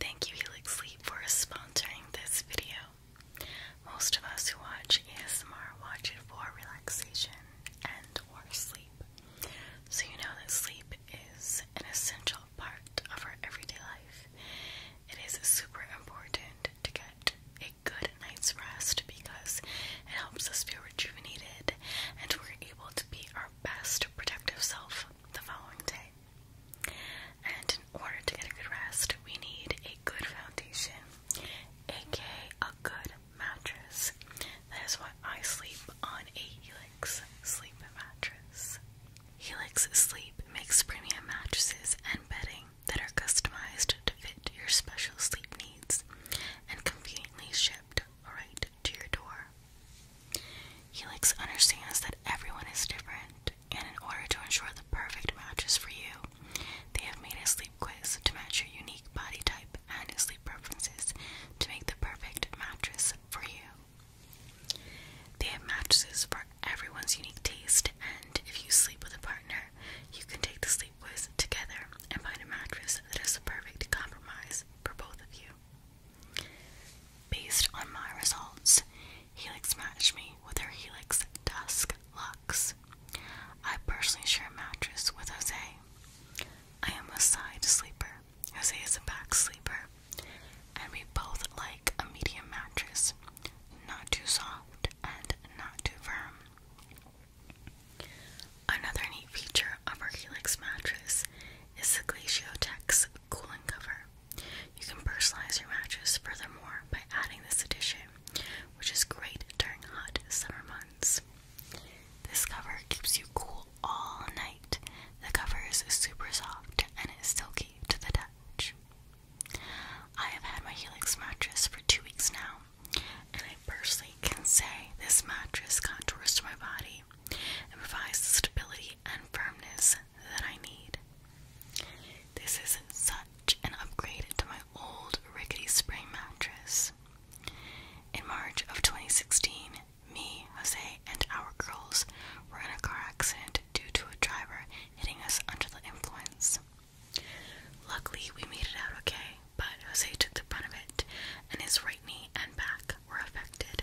Thank you, Helix Sleep, for sponsoring this video. Most of us who watch ASMR watch it for relaxation and or sleep. So you know that sleep is an essential part of our everyday life. It is super important to get a good night's rest because it helps us feel rejuvenated and we're able to be our best protective self the following day. And in order to get a good rest, we need a good foundation, aka a good mattress. That is why I sleep on a Helix sleep mattress. Helix Sleep makes premium mattresses and bedding that are customized to fit your special sleep needs and conveniently shipped right to your door. Helix understands that everyone is different, and in order to ensure the perfect mattress for you, they have made a sleep quiz to match your unique body type and sleep preferences to make the perfect mattress for you. They have mattresses for everyone's unique taste, and if you sleep with a partner, you can take the sleep quiz together and find a mattress that is the perfect compromise for both of you. Based on my results, Helix matched me with her Helix Dusk Lux. I personally share a mattress with Jose. I am a side sleeper. Jose is a back sleeper. And we both like a medium mattress. Not too soft and not too firm. Another neat feature of our Helix mattress is the GlacioTex cooling cover. You can personalize your mattress furthermore by adding this addition, which is great during hot summer months. This cover keeps you cool all night. The cover is super soft and silky to the touch. I have had my Helix mattress for two weeks now, and I personally can say this mattress contours to my body provides stability and firmness that I need. This isn't such an upgrade to my old rickety spring mattress. In March of 2016, me, Jose, and our girls were in a car accident due to a driver hitting us under the influence. Luckily, we made it out okay, but Jose took the brunt of it, and his right knee and back were affected.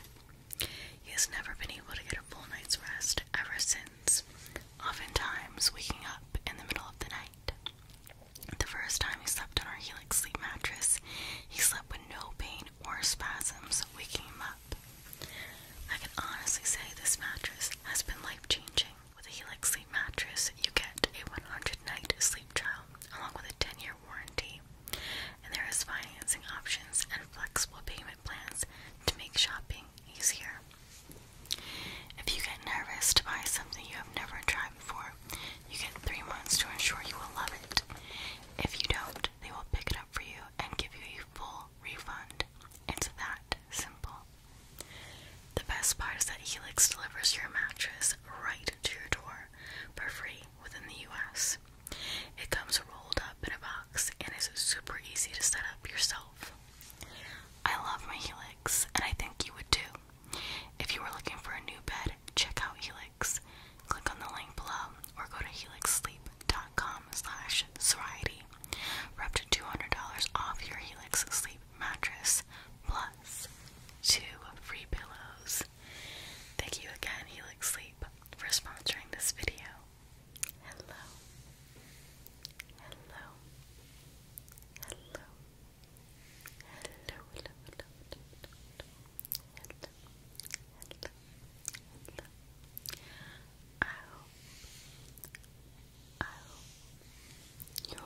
He has never been able to get a full night's rest ever since, oftentimes waking up in the middle of the night. The first time he slept on our Helix sleep mattress, he slept with no pain or spasms waking him up. I can honestly say this mattress has been life changing. With a Helix sleep mattress, you get a 100 night sleep trial along with a 10 year warranty, and there is financing options and flexible payment plans to make shopping easier. If you get nervous to buy something you have never tried before, you get three months to ensure you will love it. If you don't, they will pick it up for you and give you a full refund. It's that simple. The best part is that Helix delivers your mattress right to your door for free within the US. It comes rolled up in a box and it's super easy to set up yourself. I love my Helix and I think you would too. If you are looking for a new bed, check out Helix. Click on the link below or go to helixsleep.com slash Soriety for up to $200 off your Helix Sleep mattress plus two free pillows. Thank you again Helix Sleep for sponsoring this video. Hello. Hello. Hello. Hello. Hello. Hello. Hello. Hello. I hope, I hope you're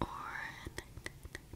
or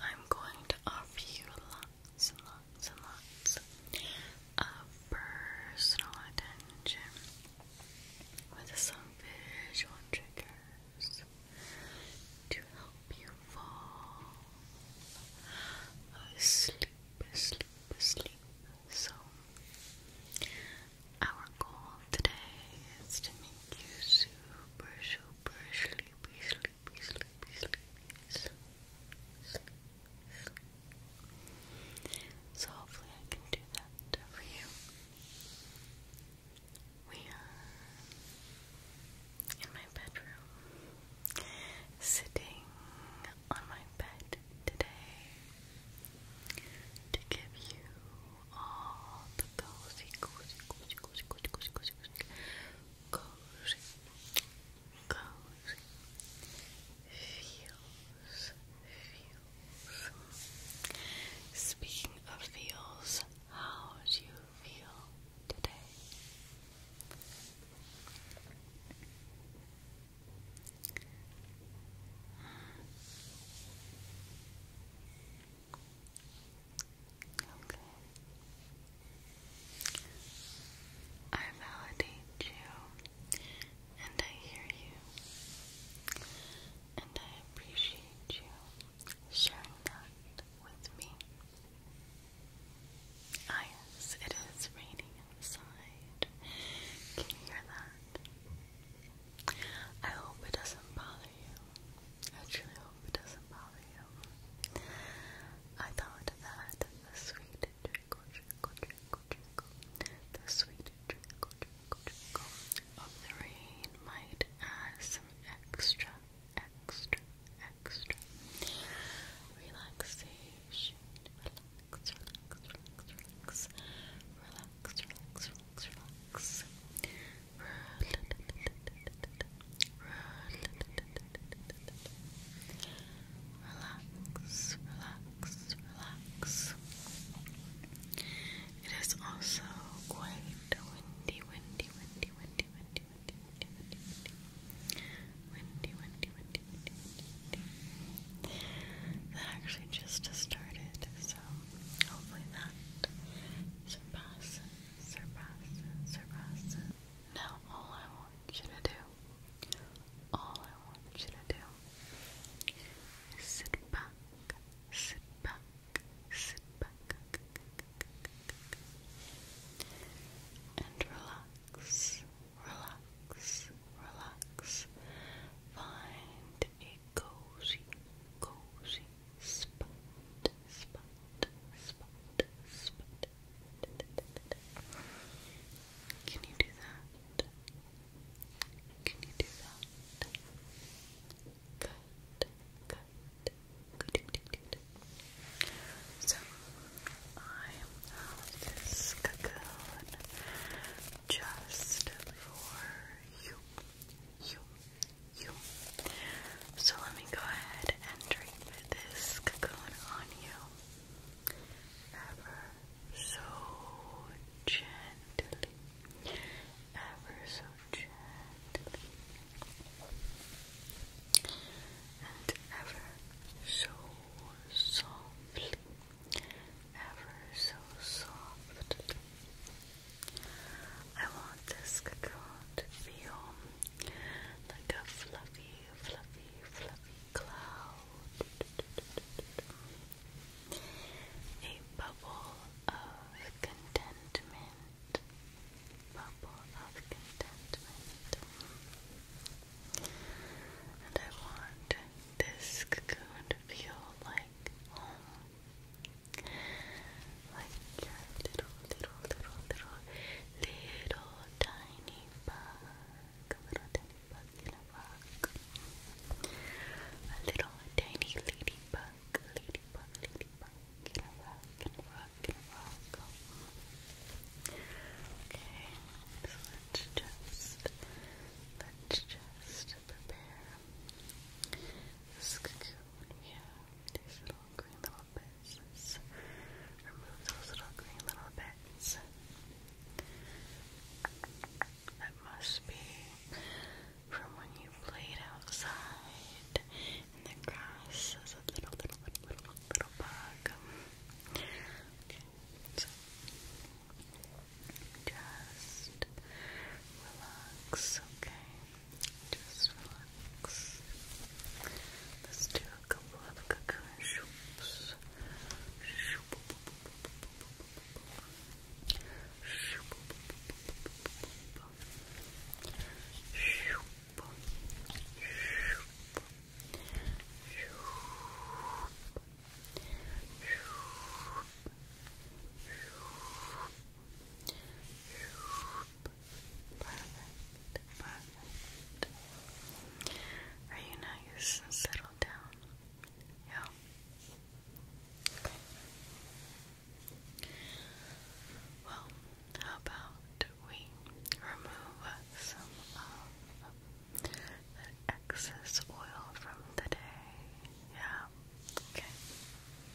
I'm going to offer you lots and lots and lots of personal attention with some visual triggers to help you fall asleep, asleep, asleep. So, our goal today is to make you super, super sleepy, sleepy. So hopefully I can do that for you. We are in my bedroom, sitting on my bed today to give you all the cozy, cozy, cozy, cozy, cozy, cozy, cozy, cozy, cozy, cozy feels, feels. Speaking of feels, how do you feel today? Okay. I validate you and I hear you and I appreciate you sharing that with me. Ah yes, it is raining outside. Can you hear that? I hope it doesn't bother you. I truly hope it doesn't bother you. I thought that the sweet trickle, the sweet trickle, of the rain might add some extra, extra, extra relaxation. relax, relax, relax, relax, relax, relax. Relax, relax, relax. It is also quite windy, windy, windy, windy, windy, windy, windy, windy, windy, windy, windy, windy, That actually just started, so hopefully that surpasses surpasses, surpasses. Now, all I want you to do, all I want you to do is sit back, sit back, sit back, and relax, relax, relax. Find a cozy, cozy, spot, spot, spot, spot. Can you do that? Can you do that? Good, good, good, good, good. So, I have this cocoon just for you, you, so let me go ahead and drape this cocoon on you ever so gently. Ever so gently. And ever so softly. Ever so softly. I want this cocoon to feel like a fluffy, fluffy, fluffy cloud, a bubble of contentment, bubble of contentment, and I want this cocoon to feel like home like your little, little, little, little, little tiny bug, a little tiny bug in a rock, a little tiny ladybug, ladybug, ladybug in a rock, in a rock, in a rock. Okay, so let's just, let's just prepare this cocoon. little green little Remove those little green little bits. That must be from when you played outside in the grass as a little, little, little, little, bug. Okay, just relax, okay? Just relax. Let's do a couple of cocoon shoops. Shoop. Shoop. Shoop. Shoop. Shoop. Shoop. Perfect. Are you now and settled down? Yeah. Well, how about we remove some of the excess oil from the Yeah. Okay.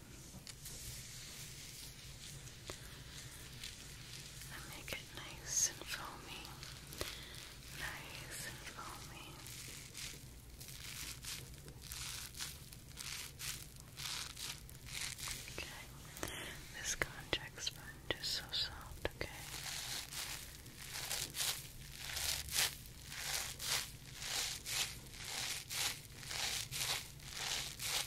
And make it nice and foamy. Nice and foamy. Okay. This contact sponge is so soft, okay?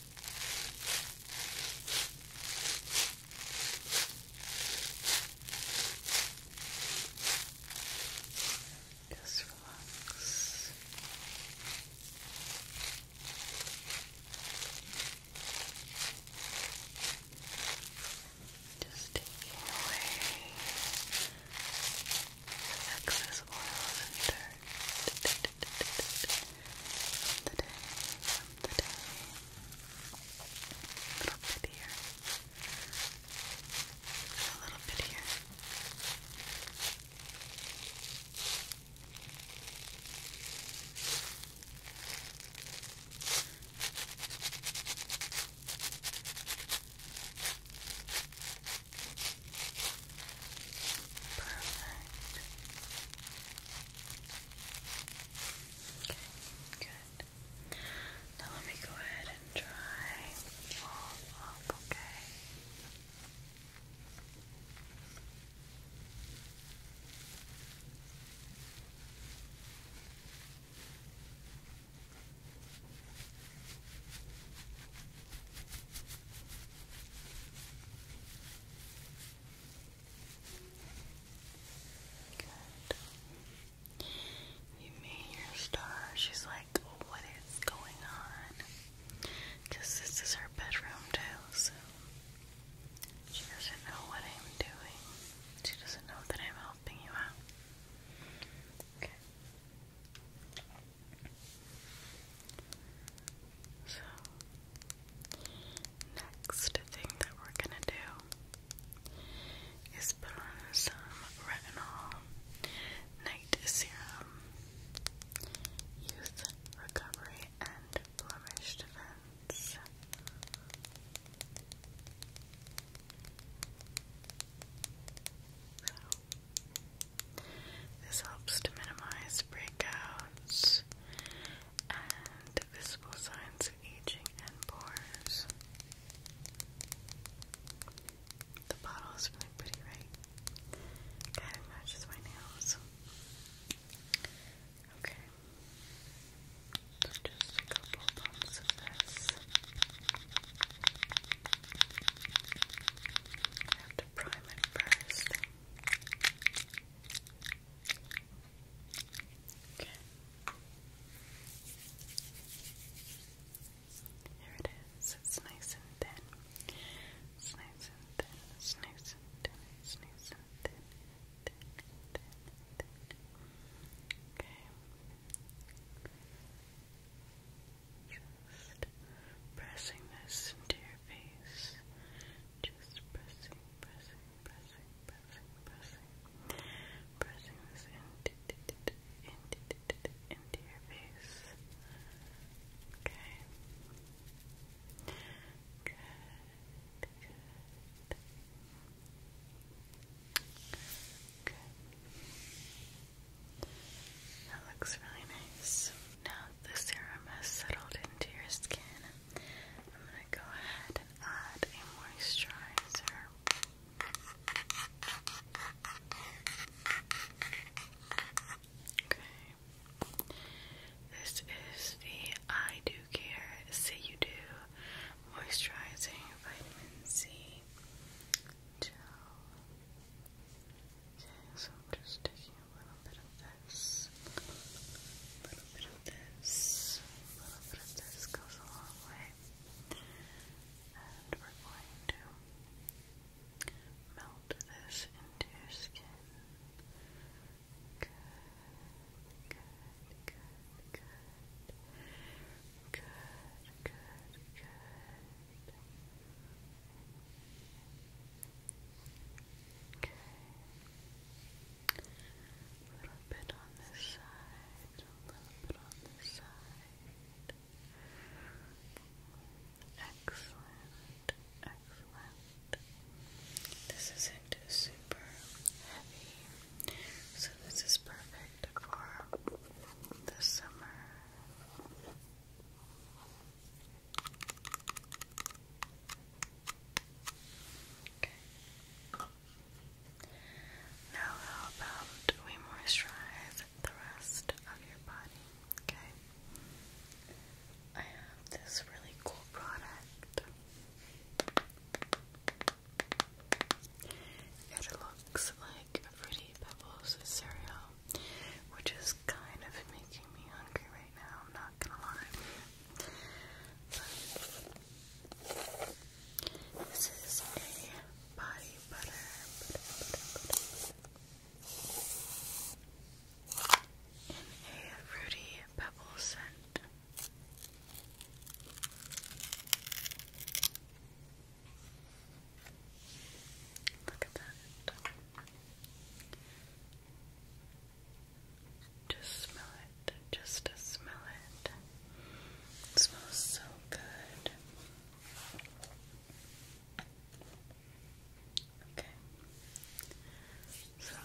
Just relax. Just taking away excess oils and the day, from the day. A little bit here. A little bit here. Just Perfect. Okay, good. Now let me go ahead and try all up, okay? Okay. You meet your star. She's like, what is going on? Because this is her bedroom too, so she doesn't know what I'm doing. She doesn't know that I'm helping you out. Okay. So, next thing that we're gonna do is put on some retinol night serum, youth recovery, and blemish defense. So, this helps to minimize breakouts and visible signs of aging and pores. The bottle is really pretty, right? Kind matches my nails. Okay. just a couple pumps of this. I have to prime it first. Okay. Here it is. It's nice and thin. It's nice and thin. It's nice and thin. It's nice and thin. Thin, thin, thin. Okay. Just pressing this into face. Just pressing, pressing, pressing, pressing, pressing. Pressing this into, into, into your face. Okay. Good, Good. That looks really nice. Now the serum has settled into your skin, I'm going to go ahead and add a moisturizer. Okay. This is the I Do Care Say You Do Moisturizing Vitamin C gel. Okay, so I'm just taking a little bit of this, a little bit of this, a little bit of this goes a long way. And we're going to melt this into your skin. Good, good, good, good. Good, good, good. Okay. A little bit on this side, a little bit on this side. Excellent, excellent. This isn't super heavy, so this is perfect for the summer. Now, how about we moisturize the rest of your body? Okay. I have this really cool product. It looks like Fruity Pebbles cereal, which is kind of making me hungry right now. not this is a body butter. In a fruity pebble scent. Look at that. Just smell it. Just to smell it. It smells so good. Okay. So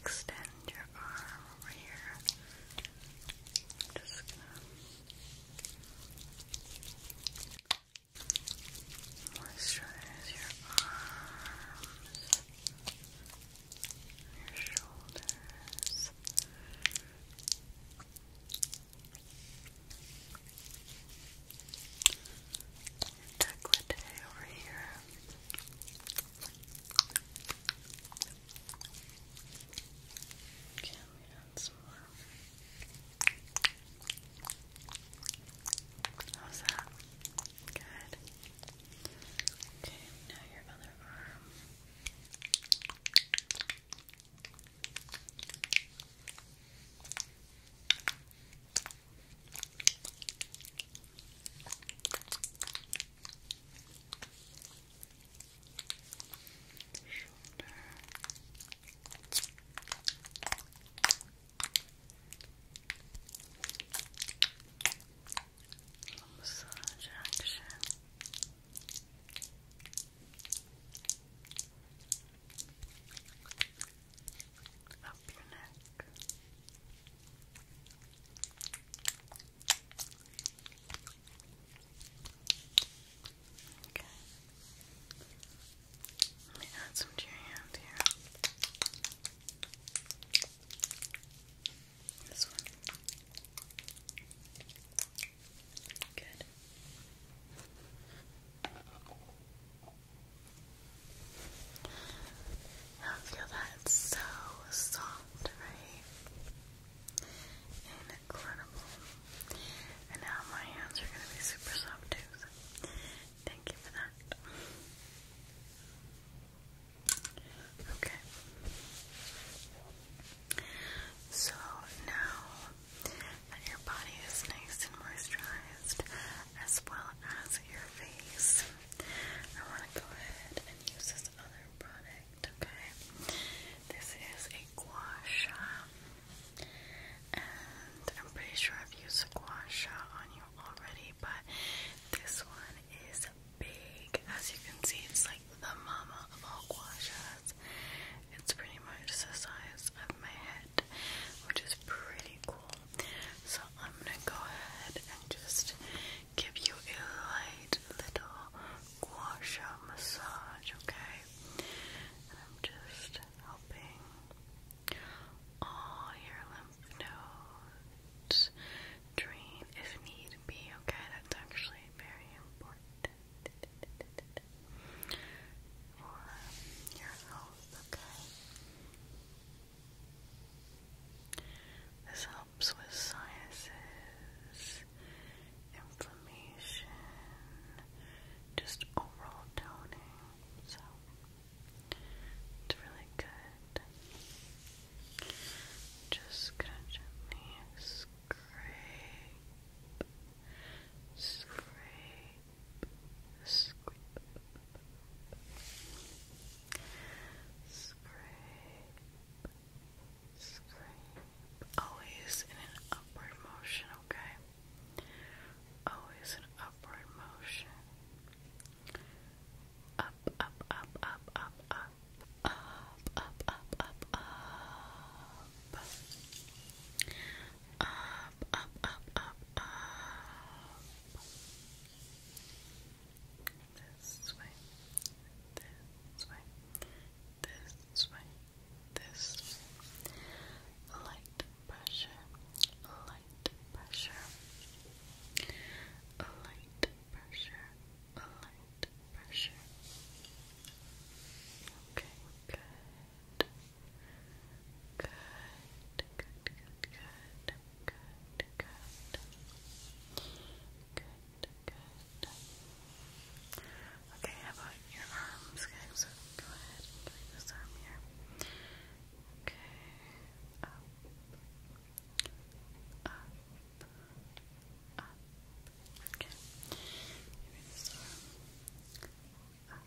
extend your arm over here. I'm just gonna Moisturize your arms, your shoulders. Decollete over here. Can we add some more? How's that? Good. Okay, now your other arm. Shoulder. Massage action. Up your neck. Okay. Let me add some to your hand here. This one. Good. I feel that it's so soft, right? Incredible. And now my hands are going to be super soft too. Thank you for that. Okay. So now that your body is nice and moisturized, as well as your face, I want to go ahead and use this other product, okay? This is a gua I'm pretty sure I've used a gua sha uh, on you already, but this one is big. As you can see, it's like the mama of all gua It's pretty much the size of my head, which is pretty cool. So I'm gonna go ahead and just give you a light little gua sha uh, massage, okay? I'm just helping all your lymph nodes drain if need be. Okay, that's actually very important for your health. Okay, this helps with sinuses, inflammation, just overall toning. So. It's really good. Just gonna gently scrape, scrape, scrape, scrape, scrape. Always in an upward motion, okay? Always an upward motion. Up, up, up, up, up, up. Up, up, up, up, up. Up, up, up, up, up. This way, this way, this way, this way. Light, pressure, light pressure, light pressure, light pressure. Okay, good. Good, good, good, good, good, good. Good, Okay, how about your arms? go ahead this arm here. Okay. Up. Up. Up. Okay. Up.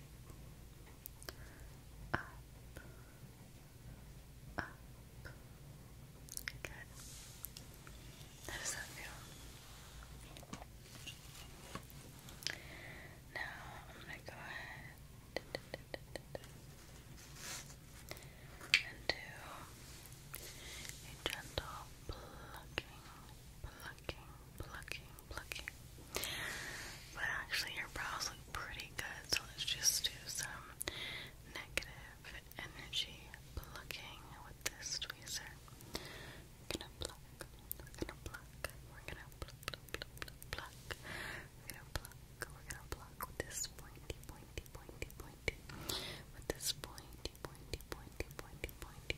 Up. Up. Good. How does that feel? Now I'm gonna go ahead and a gentle plucking, plucking, plucking, plucking. But actually, your brows look pretty good, so let's just do some negative energy plucking with this tweezer. gonna pluck, we're gonna pluck, we're gonna pluck pluck, pluck. We're gonna pluck, we're gonna pluck with this pointy, pointy, pointy, pointy. With this pointy, pointy, pointy, pointy, pointy,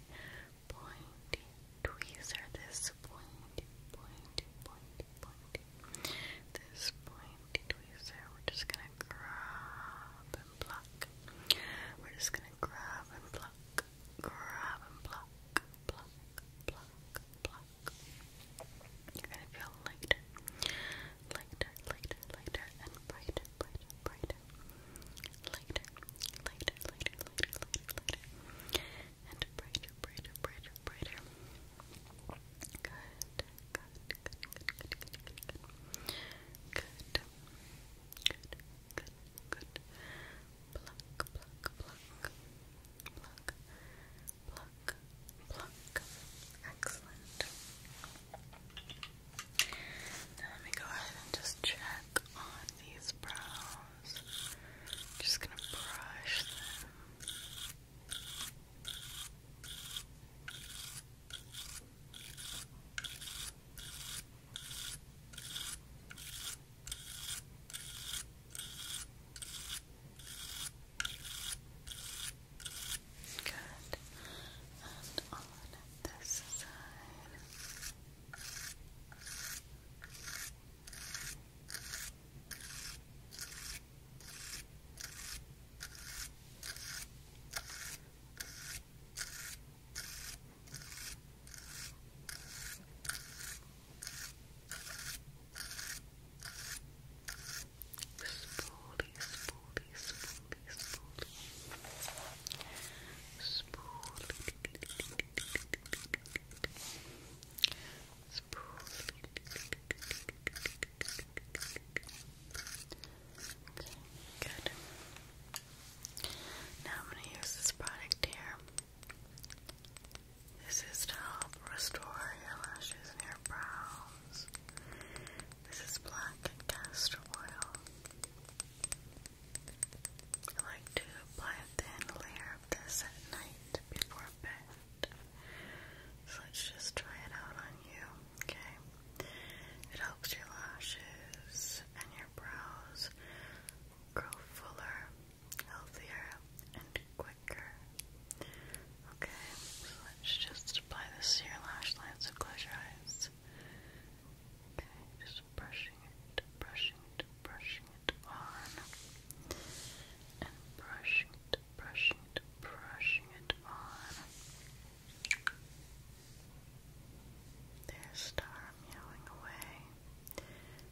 pointy. Tweezer this pointy, pointy, pointy, pointy. This pointy tweezer, we're just gonna grab and pluck. We're just gonna grab and pluck, grab and pluck, pluck, pluck, pluck rock. You're gonna feel lighter, lighter, lighter, lighter, and brighter, brighter, brighter. Lighter, lighter, lighter, lighter, lighter, lighter. And brighter, brighter, brighter, brighter. Good, good, good, good, good, good, good, good. Good, good, good, good. Pluck, pluck, pluck. Good, pluck, pluck, pluck. Excellent. Now let me go ahead and just check on these brows. I'm just gonna brush them. Okay, Good. And on this side. Good. Spoolie, spoolie, spoolie, spoolie. Spoolie. Spoolie. Okay, good. Now I'm going to use this product here this is to help restore your lashes and your brows. This is black castor oil. I like to apply a thin layer of this at night before bed. So let's just try it out on you, okay? It helps your lashes and your brows grow fuller healthier and quicker. Okay, so let's just apply this to your lash line, so close your eyes. Okay, just brushing it, brushing it, brushing it on. And brushing it, brushing it, brushing it on. There's star meowing away.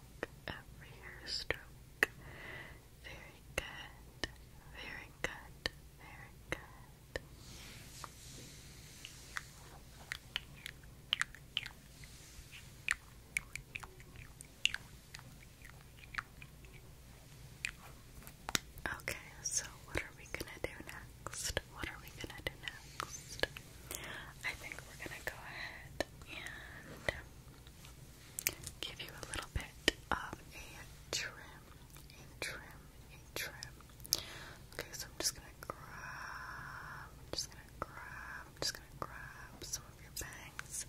stroke, every stroke. Very good, very good, very good. Okay, so what are we gonna do next? What are we gonna do next? I think we're gonna go ahead and give you a little bit of a trim, a trim, a trim. Okay, so I'm just gonna grab, just gonna grab, just gonna grab some of your bangs,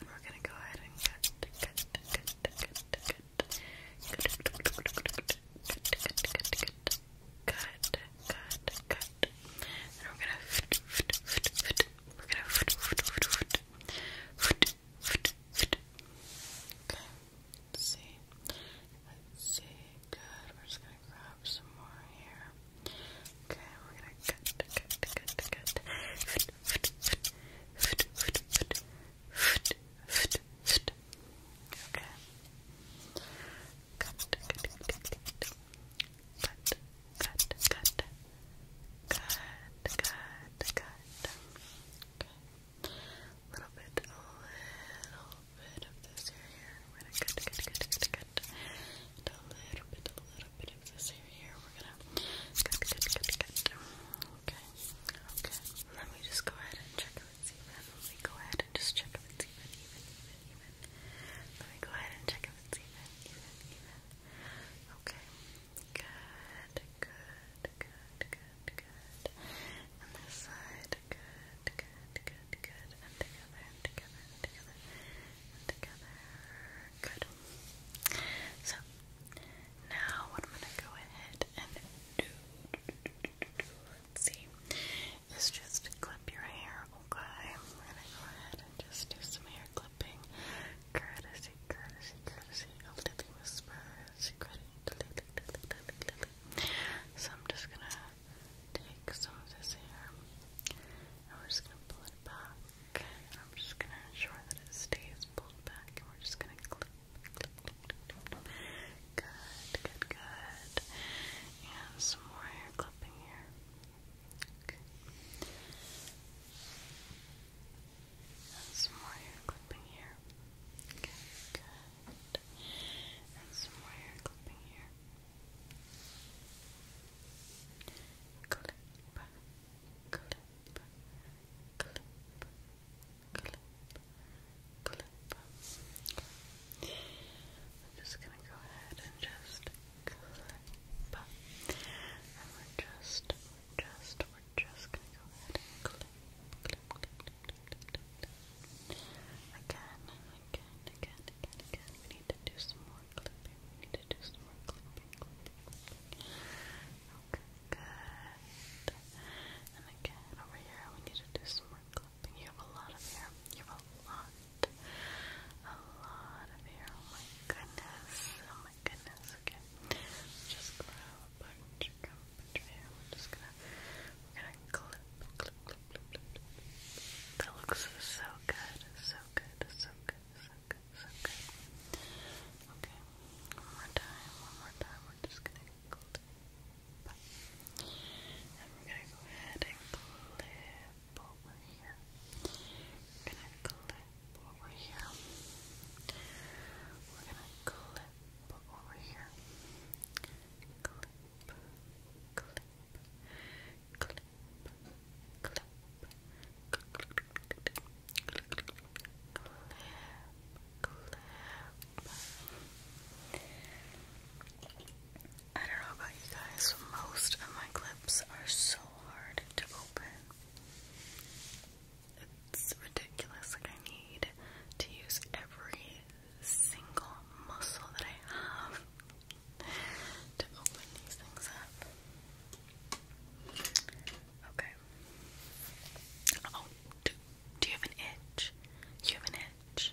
and we're gonna go ahead and cut, cut, cut, cut, cut, cut, cut, cut, cut, cut, cut, cut, cut, cut, cut, Good, good. And we're gonna fit, fit, fit, fit. We're gonna fit, fit, fit, fit. Fit, fit, fit. Okay. Let's see. Let's see. Good. We're just gonna grab some more here. Okay, we're gonna cut, cut, cut, cut. Fit, fit, fit. Fit, fit, fit. Fit, fit, fit. Okay cut, cut, cut, cut. Cut, cut, cut, cut, cut, cut. Okay. A little bit, a little bit of this area here. We're gonna cut, cut, cut, cut, cut. And a little bit, a little bit of this area here. We're gonna cut, cut, cut, cut. Okay, okay. Let me just go ahead and check if it's even. Let me go ahead and just check if it's even, even, even, even. Let me go ahead and check if it's even, Okay. Good, good, good, good, good. On this side, good, good, good, good. And together, together, together, together. Good. So, now what I'm going to go ahead and do, see, is just clip your hair, okay? I'm going to go ahead ahead and just do some hair clipping. Courtesy, courtesy, courtesy of Lily Whispers. Credit Lily, Lily, Lily, Lily. So I'm just gonna take some of this hair and we're just gonna pull it back. And I'm just gonna ensure that it stays pulled back and we're just gonna clip, clip, clip, clip, clip. Good, good, good. And some more hair clipping here. Okay. And some more hair clipping here. good. And some more hair clipping here. Clip, clip, clip, clip, clip. Okay. I'm just gonna go ahead and just clip. we're just, just, we're just gonna go ahead and clip, clip, clip, clip, clip, clip. Again, again, again, again, again. We need to do some more clipping. We need to do some more clipping, clipping, clipping. Okay, And again, over here, we need to do some more clipping. You have a lot of hair. You have a lot a lot of hair. Oh my goodness. Oh my goodness. Just grab a bunch, of hair. We're just gonna we're gonna clip, clip, clip, clip, clip. That looks so good. So good. So good. So good. So good. Okay. One more time. One more time. We're just gonna clip. And we're gonna go ahead and clip, clip over here. We're gonna clip over here. We're gonna clip over here. Clip, clip, clip, clip, clip, clip, clip. Clip, clip. I don't know about you guys, but most of my clips are so hard to open. It's ridiculous. Like, I need to use every single muscle that I have to open these things up. Okay. Oh, do, you have an itch? You have an itch.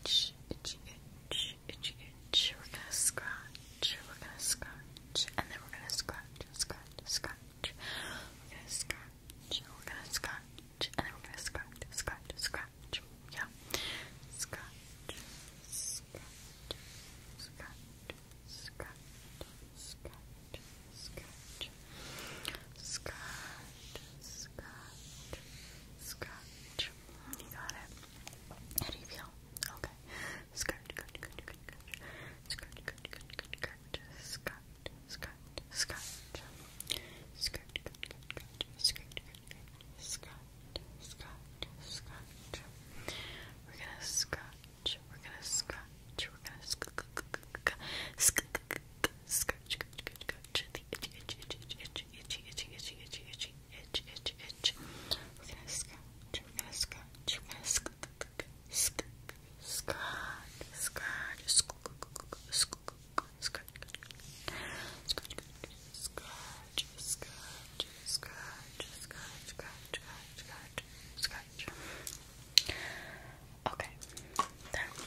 itch, itchy itch, itchy itch. We're gonna scratch, we're gonna scratch, and then we're gonna scratch, scratch, scratch. We're gonna scratch, we're gonna scratch, and then we're gonna scratch, scratch, scratch. Yeah. Scratch, scratch, scratch, scratch, scratch, scratch, scratch, scratch. Scratch. You got it. How do you feel? Okay. Scratch, scratch, scratch, scratch. Scratch, scratch, scratch, scratch. Scratch, scratch, scratch. We're gonna scratch. We're gonna scratch. We're gonna scratch scratch, scratch, the itchy, itchy, itchy, itchy, itchy, itchy, itchy, itchy, itchy, itch, itch, itch. We're gonna scratch, we're gonna scratch, we're gonna scratch, scratch, scratch, scratch, scratch, scratch, scratch, scratch, scratch, scratch, scratch. Okay, there we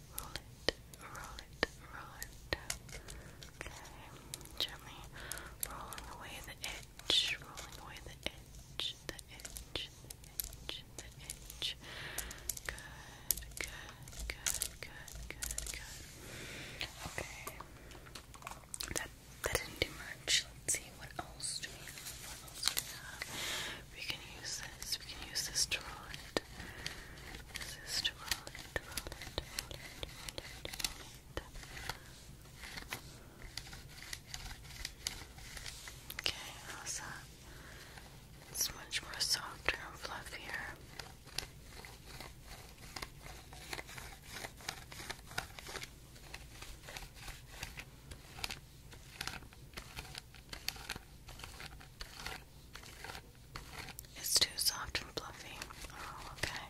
roll it, roll it, roll it. Okay, gently rolling away the edge, rolling away the edge, the edge, the edge, the edge. Good, good, good, good, good, Okay, that that didn't do much. Let's see what else do we What else do we have? We can use this. We can use this to roll it. this to roll it. Okay, how's that? It's much more softer and fluffier. It's too soft and fluffy. Oh, okay.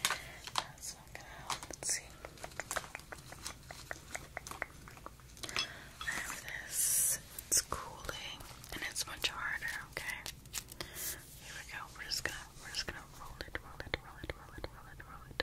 Okay. Let's see. I have this. It's cooling and it's much harder, okay? Here we go. We're just gonna we're just gonna roll it, roll it, roll it, roll it, roll it, roll it.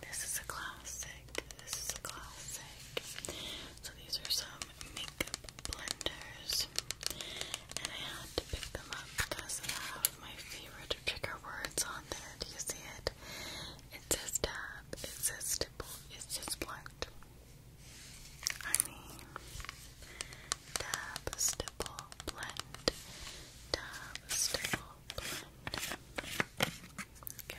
this is a classic. This is a classic. So these are some makeup blenders. And I had to pick them up because they have my favorite trigger words on there. Do you see it? It says dab, it says stipple, it says blunt. I mean, dab, stipple, blend, dab, stipple, blend. Okay.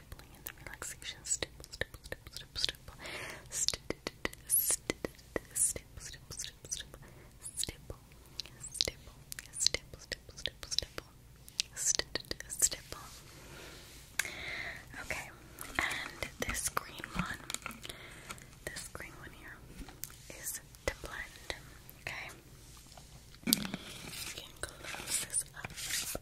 stippling and the relaxation. Stipple, stipple, stipple, stipple, stipple. Stipple, stipple, stipple, stipple, stipple. Stipple, stipple, stipple, stipple, stipple, stipple. Stipple. Okay, and this green one, this green one here, is to blend. Okay, you can close this up.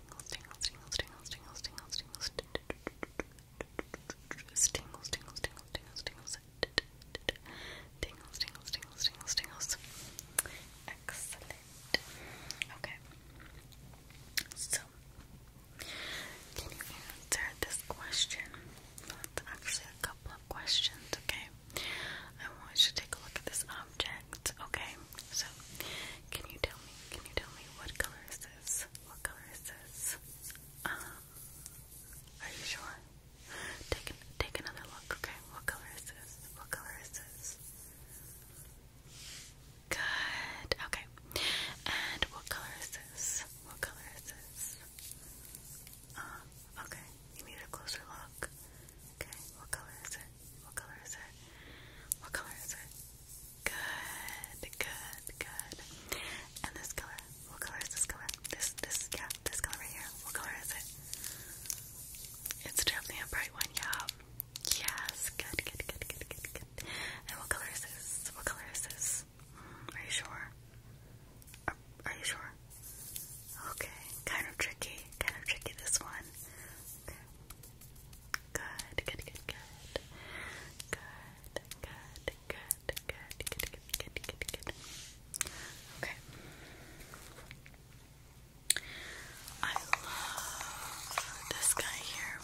Tingles, tingles, tingles, tingles, tingles, tingles, tingles, tingles, tingles, tingles, tingles, tingles, tingles, tingles, tingles, tingles, tingles. Excellent. Okay. So, can you answer this question? Well, it's actually a couple of questions, okay? I want you to take a look at this object, okay? So, can you tell me, can you tell me what color is this? What color is this? Um, are you sure? Take, take another look, okay? What color is this? What color is this? Good, okay. And what color is this? What color is this? Um, okay. You need a closer look. Okay, what color is it? What color is it? What color is it? Good, good, good. And this color? What color is this color? This, this, yeah, this color right here. What color is it? It's definitely a bright one, yeah. Yes, good, good, good, good, good, good. And what color is this? What color is this? Mm, are you sure? Are, are you sure? Okay, kind of tricky, kind of tricky this one. Good, good, good, good. Good, good, good, good, good, good, good, good, Okay. I love this guy here.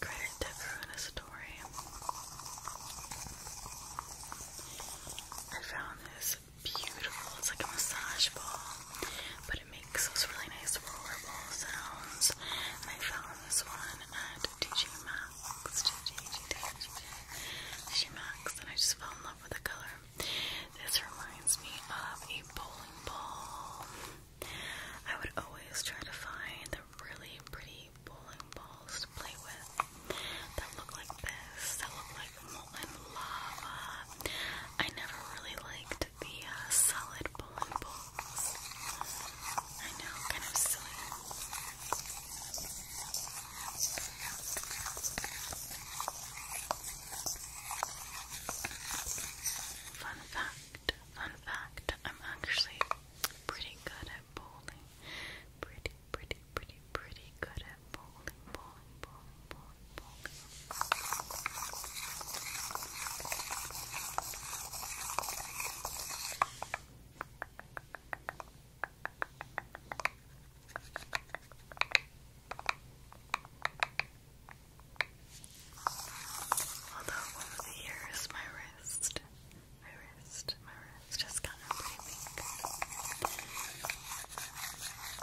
Credit to ruin a I found this beautiful. It's like a massage ball, but it makes those really nice horrible sounds. I found this one at TJ Maxx, TJ Maxx, and I just fell in love with the color. This reminds me of a bowling ball. I would always try to find the really pretty bowling balls to play with that look like this, that look like molten lava. I never really liked the uh, solid bowling balls. I know, kind of silly. Fun fact, fun fact, I'm actually pretty good at bowling. Pretty, pretty, pretty, pretty good at bowling pulling, pulling, pulling, pulling, pulling. Although one of the ears, my wrist, my wrist, my wrist has gotten pretty weak.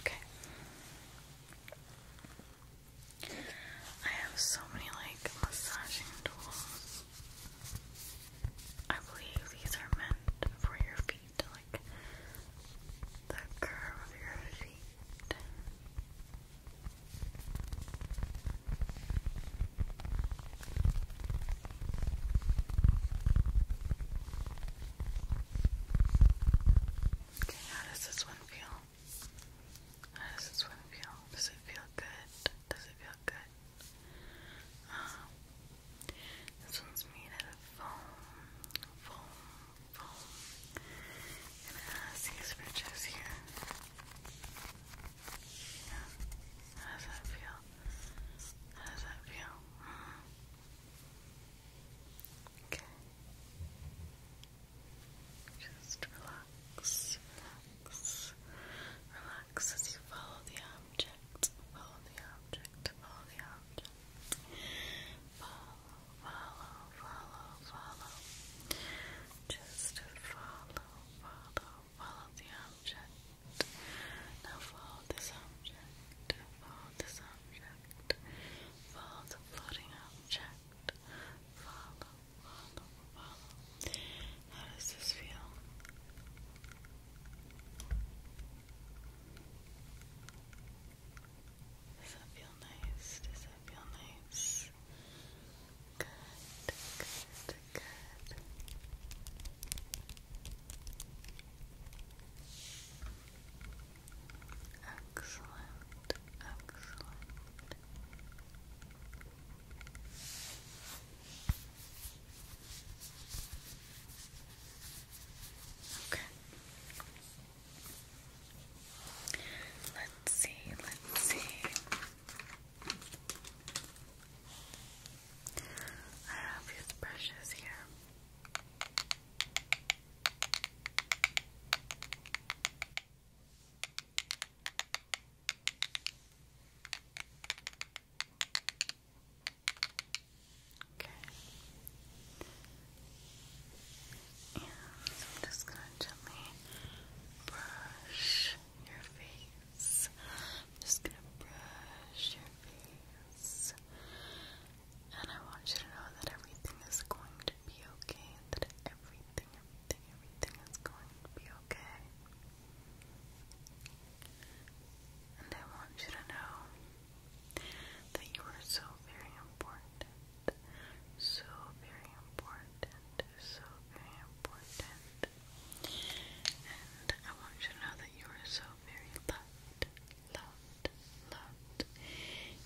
Okay. I have so many like massaging tools. I believe these are meant for your feet, like the curve of your feet. Okay, how does this one feel? How does this one feel? Does it feel good? Does it feel not good. Um, this one's made out of foam, foam, foam, and it has these ridges here. Yeah. How does that feel? How does that feel? Mm. Okay. Just relax, relax. as you follow the object. Follow the object. Follow the object. Follow, follow, follow, follow. Just follow, follow, follow the object. Now follow this object. Follow this object. Follow the floating object. Follow, how does this feel? Does that feel nice? Does that feel nice? Good, good, good. Excellent, excellent. Okay. Let's see, let's see. I have his brushes here. Okay. so I'm just gonna gently brush your face. I'm just gonna brush your face. And I want you to know that everything is going to be okay, that everything, everything, everything is going to be okay. And I want you to know that you are so very important, so very important, so very important. And I want you to know that you are so very loved, loved, loved.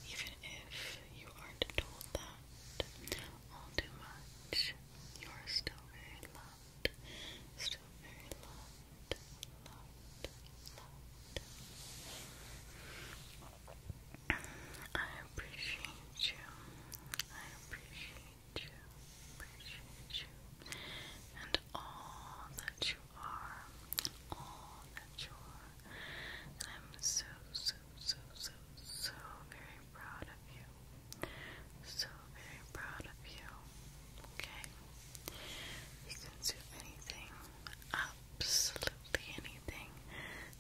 Even if you aren't told that all too much, you are still very loved. I appreciate you. I appreciate you. Appreciate you. And all that you are. All that you are. I'm so, so, so, so, so very very proud of you. So very proud of you. Okay? You can do anything, absolutely anything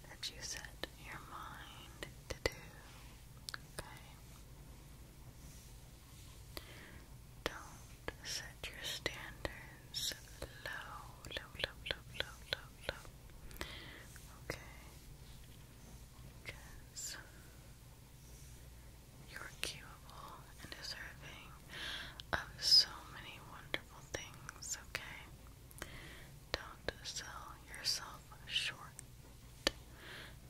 that you set your mind to do. Okay? Don't set your standards low, low, low, low, low, low, low. Okay? because you're capable and deserving of so many wonderful things, okay? Don't sell yourself short.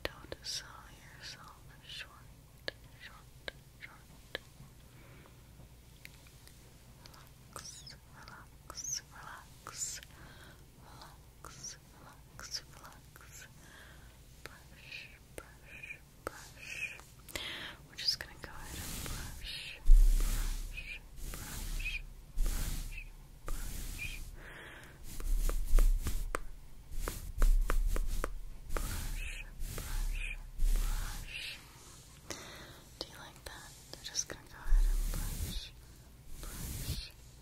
Don't sell yourself short, short, short. Relax, relax, relax flux, flux, flux, brush, brush, brush. We're just gonna go ahead and brush, brush, brush, brush, brush, brush, brush, brush. Do you like that? They're just gonna go ahead and brush, brush, brush,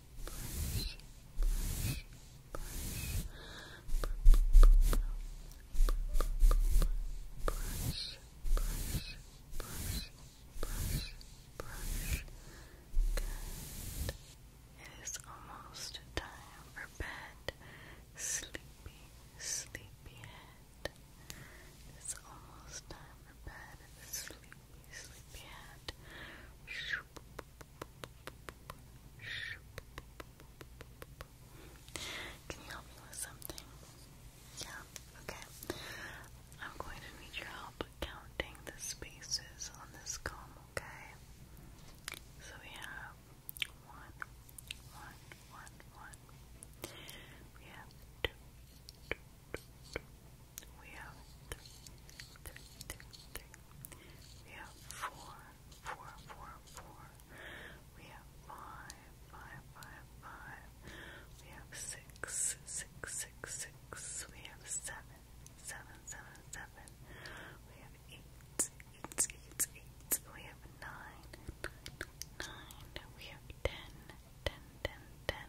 it is almost time for bed. Sleepy, sleepy head. It's almost time for bed. Sleepy, sleepy head. Can you help me with something? Yeah, okay. I'm going to need your help counting the spaces on this comb, okay? So we have one, one, one, one. We have two, two, we have three, three, three, three. We have four, four, four, four. We have five, five, five, five. We have six, six, six, six. We have seven, seven, seven, seven. We have eight, eight, eight, eight. We have nine, nine, nine. We have ten, ten, ten, ten.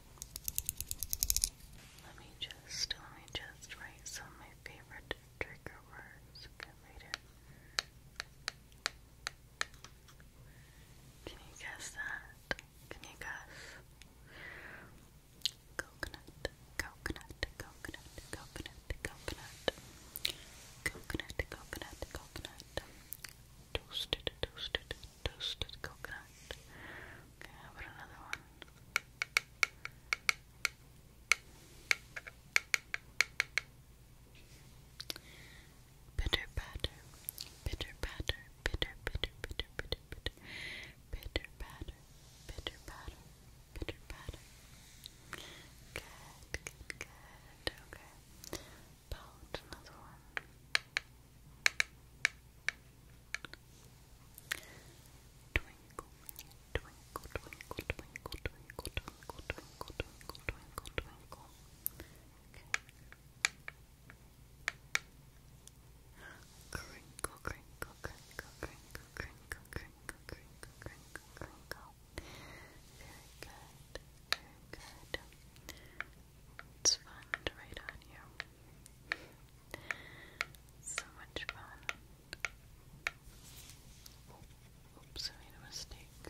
Let me just, let me just write some of my favorite trigger words. can you guess that? Can you guess? Coconut, coconut, coconut, coconut, coconut, coconut, coconut, coconut, toasted, toasted, toasted coconut. Okay, how about another one? Bitter batter, bitter batter, bitter, bitter, bitter, bitter, bitter, bitter batter, bitter batter, bitter batter. Good, good, good. Okay. About another one. Twinkle, twinkle, twinkle, twinkle, twinkle, twinkle, twinkle, twinkle, twinkle, twinkle. Okay. Crinkle, crinkle, crinkle, crinkle, crinkle, crinkle, crinkle, crinkle, crinkle. Very good, very good. It's fun to write on you. So much fun. Oops, I made a mistake.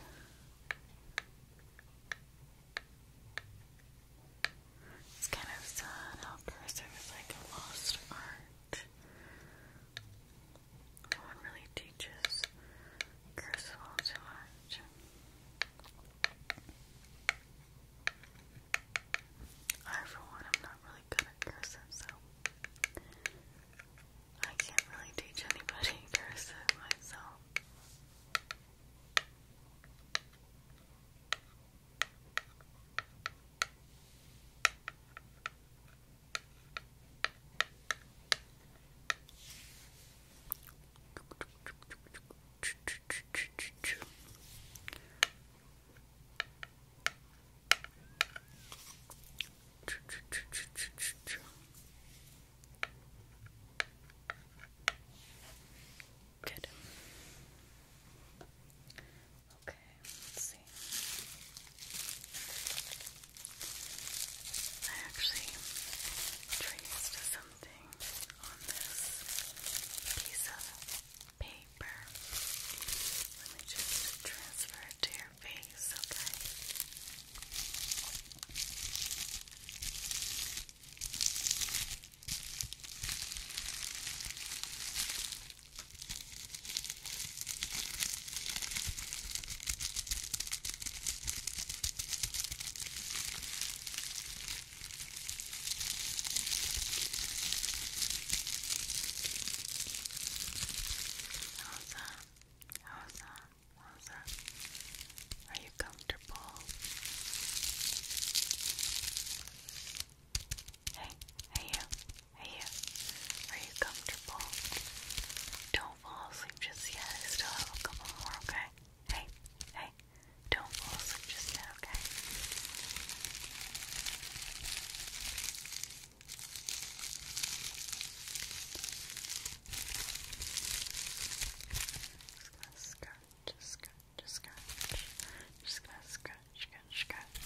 It's kind of sad how cursive is like a lost art. No one really teaches cursive all too much. I, for one, am not really good at cursive, so I can't really teach anybody cursive myself. Good. Okay, let's see. I actually traced something on this piece of paper. Let me just transfer it to your face, okay? How's that? How's that? How's that? Are you comfortable? Hey, hey you, hey you. Are you comfortable? Don't fall asleep just yet. still have a couple more, okay? Hey, hey, don't fall asleep just yet, okay? Just gonna scratch, scratch, scratch. Just gonna scratch, scratch, scratch. Oh,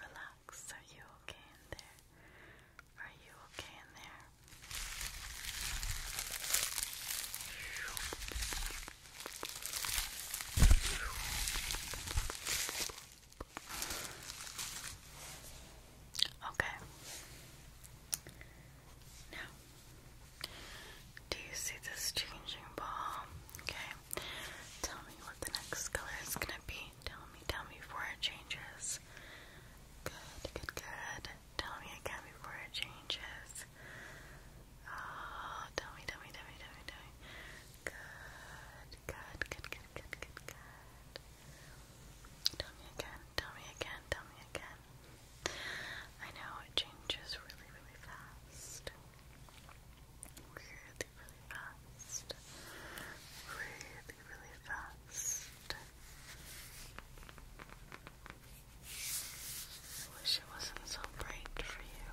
Relax. Are you okay in there? Are you okay in there? Okay. Now, do you see this changing ball? Okay. Tell me what the next color is gonna be. Tell me, tell me before it changes. Good, good, good. Tell me again before it changes. Oh, tell me, tell me, tell me, tell me, tell me. Good, good, good, good, good, good, good. Tell me again, tell me again, tell me again. I know it changes really, really fast really, really fast, really, really fast. I wish it wasn't so bright for you.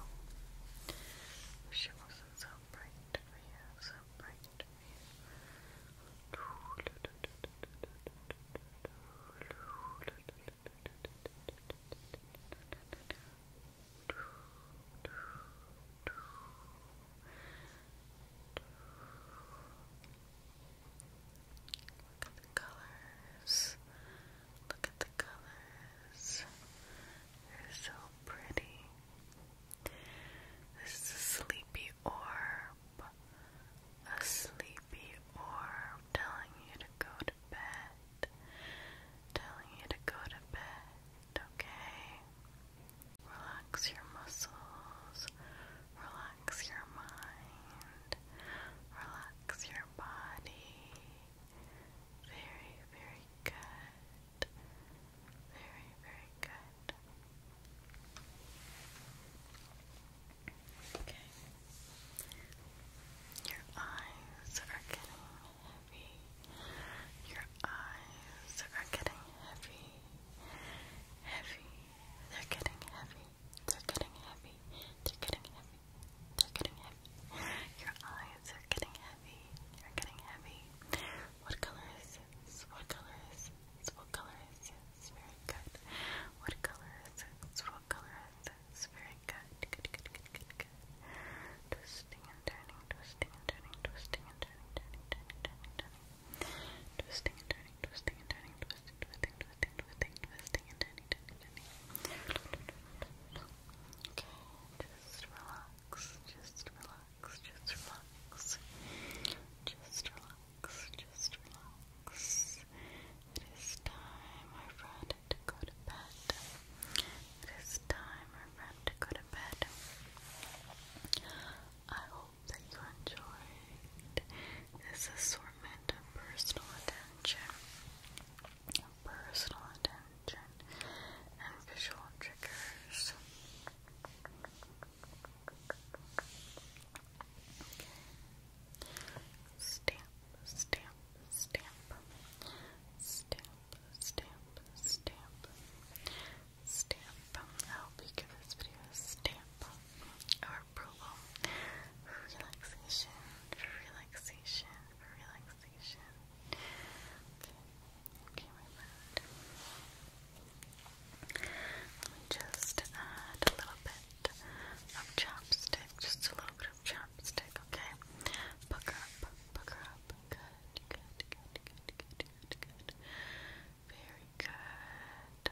wish it wasn't so bright for you, so bright for you. Look at the colors. Look at the colors. They're so pretty. This is sleepy orb. A sleepy orb telling you to go to bed. Telling you to go to bed okay? Relax your muscles, relax your mind, relax your body. Very, very good. Very, very good. Okay. Your eyes are getting heavy. Your eyes are getting heavy. Heavy. They're getting heavy. They're getting heavy. They're getting heavy. They're getting heavy. Your eyes are getting heavy. You're getting heavy. What color is this? What color is this? What color is this? Very good. What color is this? What color is this? Very good, Twisting and turning, twisting and turning, twisting and turning, turning, turning, turning, turning. Twisting and turning, twisting and turning, twisting, twisting, twisting, twisting, twisting and turning, turning, turning. Okay, just relax, just relax, just relax. Just relax, just relax. It is time, my friend, to go to bed. It is time her friend to go to bed. I hope that you enjoyed this assortment of personal attention, personal attention, and visual triggers. Stamp, stamp, stamp, stamp, stamp, stamp, stamp. I hope you give this video a stamp or approval relaxation, relaxation, relaxation. Okay, okay, my friend. Let me just add a little bit of chapstick, just a little bit of chapstick, okay? Pucker up, pucker up, good good, good, good, good, good, good. Very good.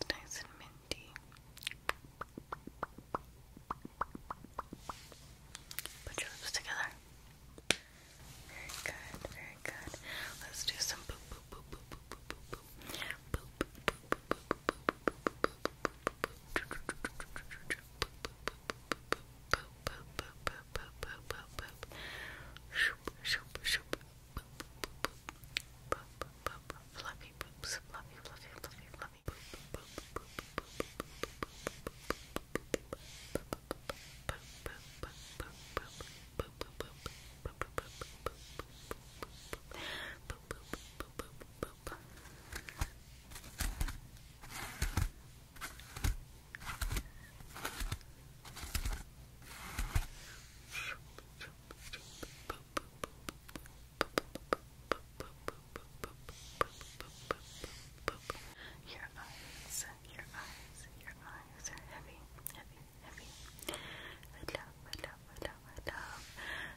It's nice and minty. Put your lips together. Very good, very good. Let's do some boop boop boop boop boop boop boop boop boop boop boop boop boop boop Fluffy poops, fluffy, fluffy, fluffy, fluffy. Your eyes, your eyes, your eyes are heavy, heavy, heavy. I love, I love, I love, I love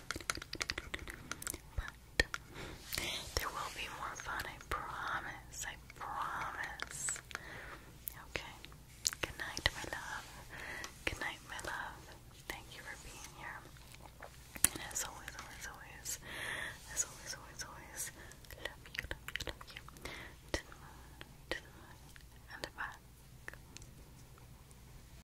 there will be more fun, I promise. I promise. Okay. Good night, my love. Good night, my love. Thank you for being here. And as always, always, always, as always, always, always, love you, love you, love you. To the moon, to the